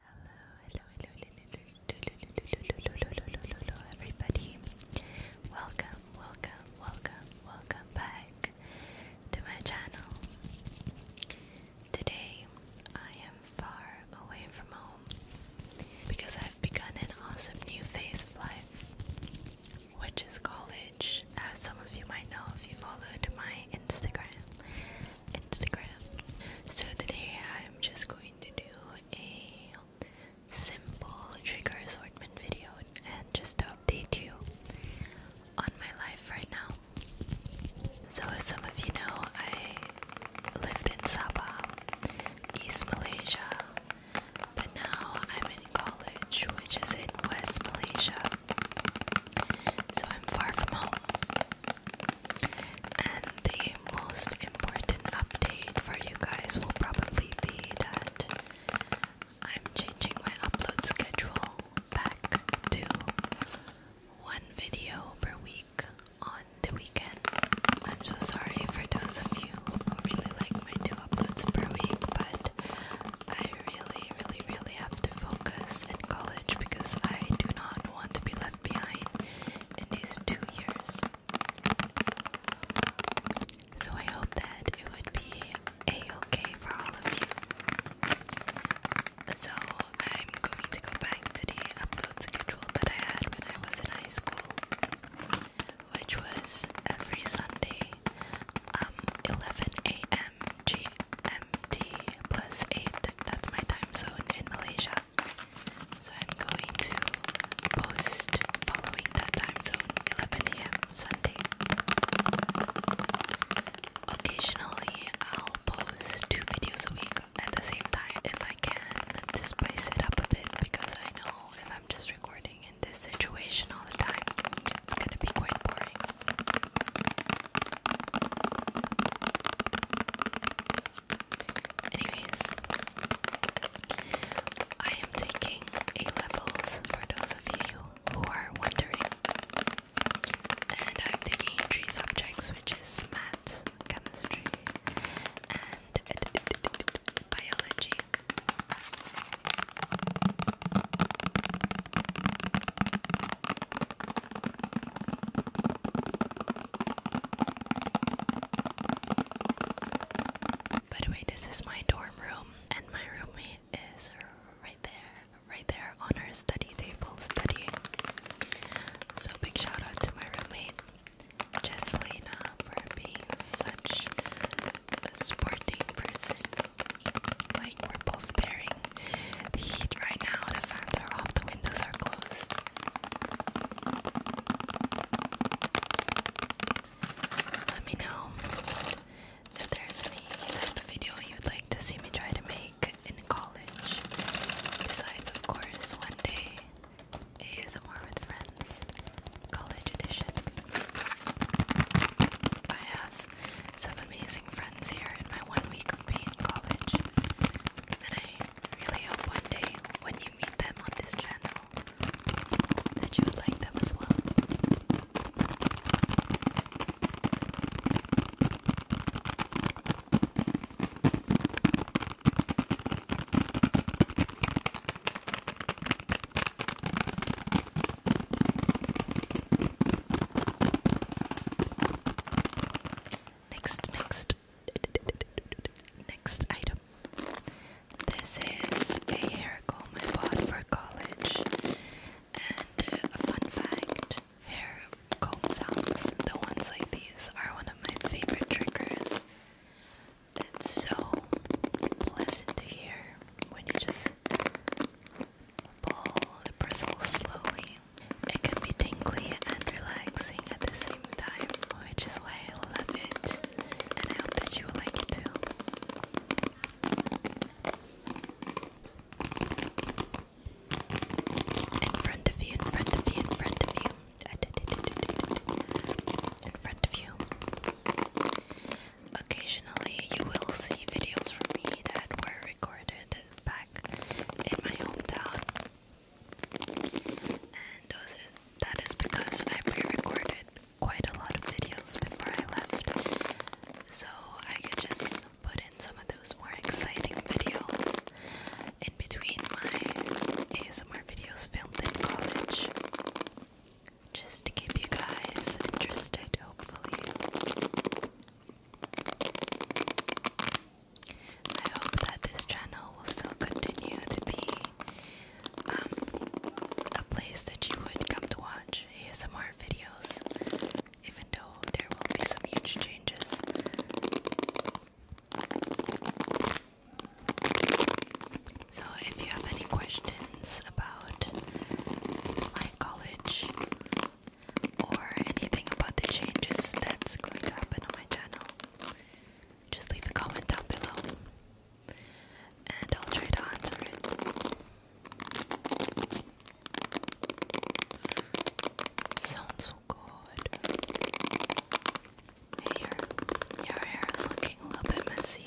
Hello, hello, hello, hello, hello, everybody. Welcome, welcome, welcome, welcome back to my channel. Today I am far away from home because I've begun an awesome new phase of life, which is college. As some of you might know if you followed my Instagram. Instagram. So today I'm just going to do a simple trigger assortment video and just to update you on my life right now. So as some of you know, I lived in Sabah, East Malaysia, but now I'm in college, which is in West Malaysia. So I'm far from home. And the most important update for you guys will probably be that I'm changing my upload schedule back to one video per week on the weekend. I'm so sorry for those of you who really like my two uploads per week, but I really, really, really have to focus in college because I do not want to be left behind in these two years. So I hope that it would be okay for all of you. So I'm going to go back to the upload schedule that I had when I was in high school, which was every Sunday, um, 11 a.m. GMT plus 8, that's my time zone in Malaysia. So I'm going to post following that time zone 11 a.m. Sunday. Occasionally, I'll post two videos a week at the same time if I can to spice it up a bit because I know if I'm just recording in this situation all the time, it's gonna be quite boring. Anyways, I am taking A levels for those of you who are wondering, and I'm taking three subjects, which is math, chemistry, and biology. By the way, this is my dorm room, and my roommate is right there, right there on her study table studying. So, big shout out to my roommate, Jesselina, for being such a sporting person. Like we're both bearing the heat right now. The fans are off, the windows are closed. Let me know if there's any type of video you'd like to see me try to make in college. Besides, of course, one day ASMR with friends, college edition. I have some amazing friends here in my one week of being in college. And I really hope one day when you meet them on this channel that you would like them as well. Next, next, next item. This is a hair comb I bought for college. And uh, a fun fact hair comb sounds, the ones like these, are one of my favorite triggers. It's so pleasant to hear when you just Pull the bristles slowly. It can be tingly and relaxing at the same time, which is why I love it, and I hope that you will like it too. in front of you, in front of you. In front of you. Occasionally, you will see videos from me that were recorded back in my hometown. And those that is because I pre-recorded quite a lot of videos before I left. So I could just put in some of those more exciting videos in between my ASMR videos filmed in college. Just to keep you guys interested, hopefully. I hope that this channel will still continue to be um, a place that you would come to watch ASMR videos, even though there will be some huge changes. So, if you have any questions about my college or anything about the changes that's going to happen on my channel, just leave a comment down below and I'll try to answer it. Sounds so good. Hey, your hair is looking a little bit messy.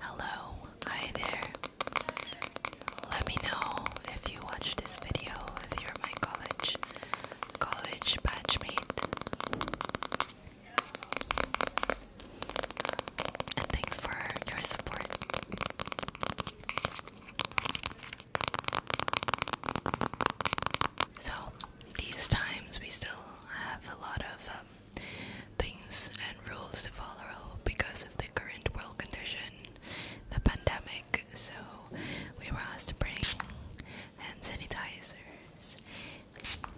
Hello, hi there. Let me know if you watch this video, if you're my college college batchmate. And thanks for your support. So, these times we still have a lot of um, things and rules to follow because of the current world condition, the pandemic. So we were asked to bring hand sanitizers,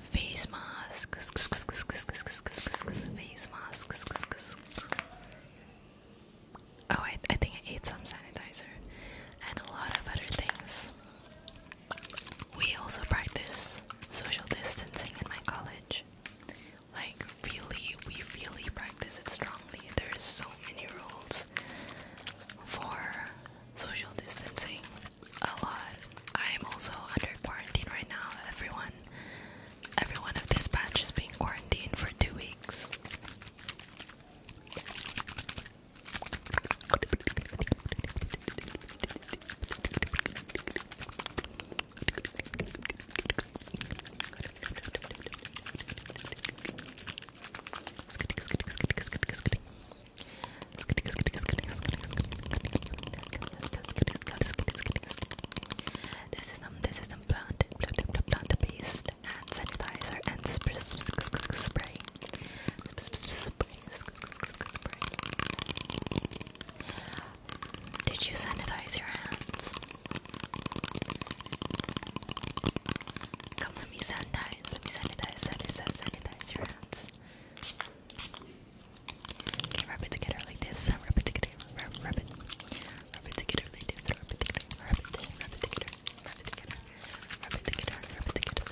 face masks, face masks. Oh, I think I ate some sanitizer and a lot of other things. We also practice social distancing in my college. Like, really, we really practice it strongly. There is so many rules for social distancing. A lot. I am also under quarantine right now. Everyone, everyone of this batch is being quarantined for two weeks. This is um, this is um, plant, plant, plant based hand sanitizer and spray, spray, spray, spray. Did you sanitize your hands? Come, let me sanitize. Let me sanitize. Sanitize, sanitize your hands. Okay, rub it together like this. Rub it together. Rub, it. Rub it together like this. Rub it together. Rub it together. Rub it together. Rub it together. Rub it together.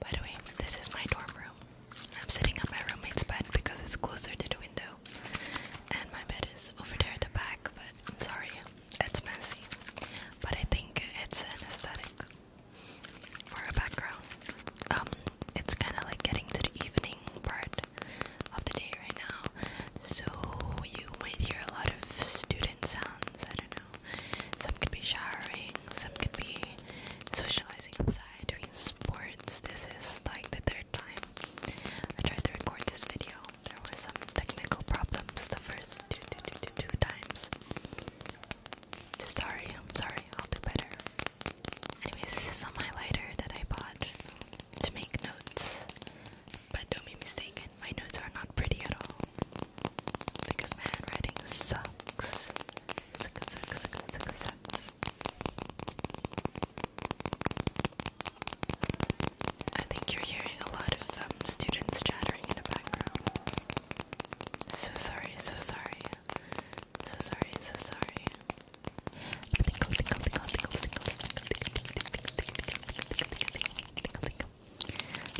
By the way, this is my dorm room. I'm sitting on my roommate's bed because it's closer to the window. And my bed is over there at the back, but I'm sorry, it's messy. But I think it's an aesthetic for a background. Um, it's kinda like getting to the evening part of the day right now. So you might hear a lot of student sounds, I don't know. Some could be showering, some could be socializing outside, doing sports. This is like the third time I tried to record this video. There were some technical problems the first two, two, two, two, two times. So sorry, I'm sorry, I'll do better. Anyways, this is some highlighter that I bought to make notes. But don't be mistaken, my notes are not pretty at all. Because my handwriting sucks six, six, six, six cents. I think you're hearing a lot of um, students chattering in the background. So sorry, so sorry, so sorry, so sorry.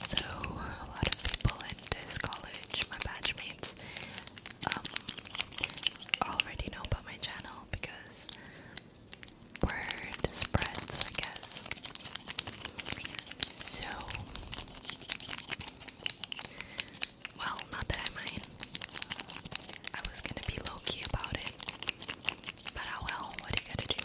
So a lot of people in this college, my batchmates um, already know about my channel because word spreads, I guess. So, well, not that I mind. I was gonna be low key about it, but oh well, what are you gonna do?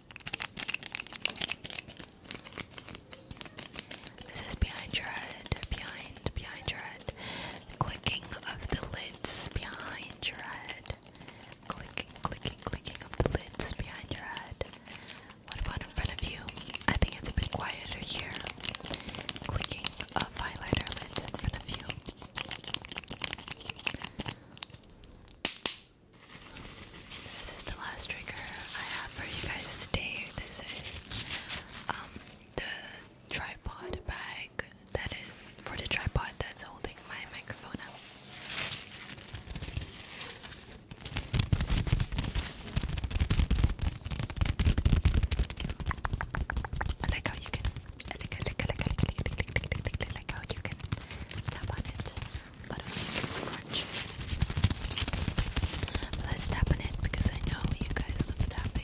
This is behind your head, behind, behind your head. Clicking of the lids behind your head. Clicking, clicking, clicking of the lids behind your head. What about in front of you? I think it's a bit quieter here. Clicking of highlighter lids in front of you. This is the last trigger I have for you guys today. This is um, the tripod bag that is for the tripod that's holding my microphone up. I like how you can I like how you can tap on it but also you can scrunch it. But let's tap on it because I know you guys love tapping.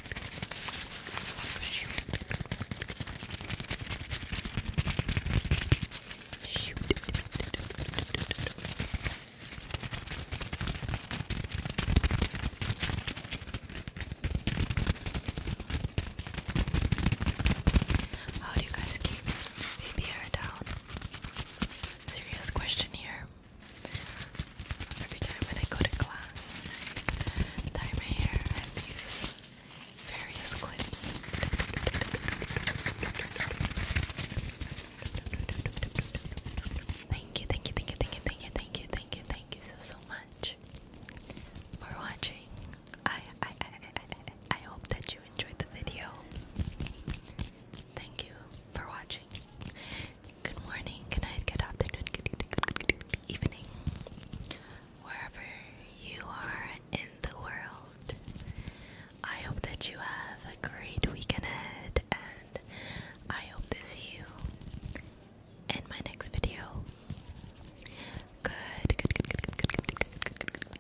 How oh, do you guys keep baby hair down? Serious question here. Every time when I go to class last my hair, I've various clips. Thank you, thank you, thank you, thank you, thank you, thank you, thank you, thank you so so much for watching. I I I I, I hope that you enjoyed the video. Thank you for watching. Good morning, good night, good afternoon, good evening, evening, wherever you are in the world. I hope that you have a great weekend ahead, and I hope to see you in my next video. Good, good, good, good, good, good, good, good, good,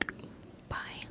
good. Bye.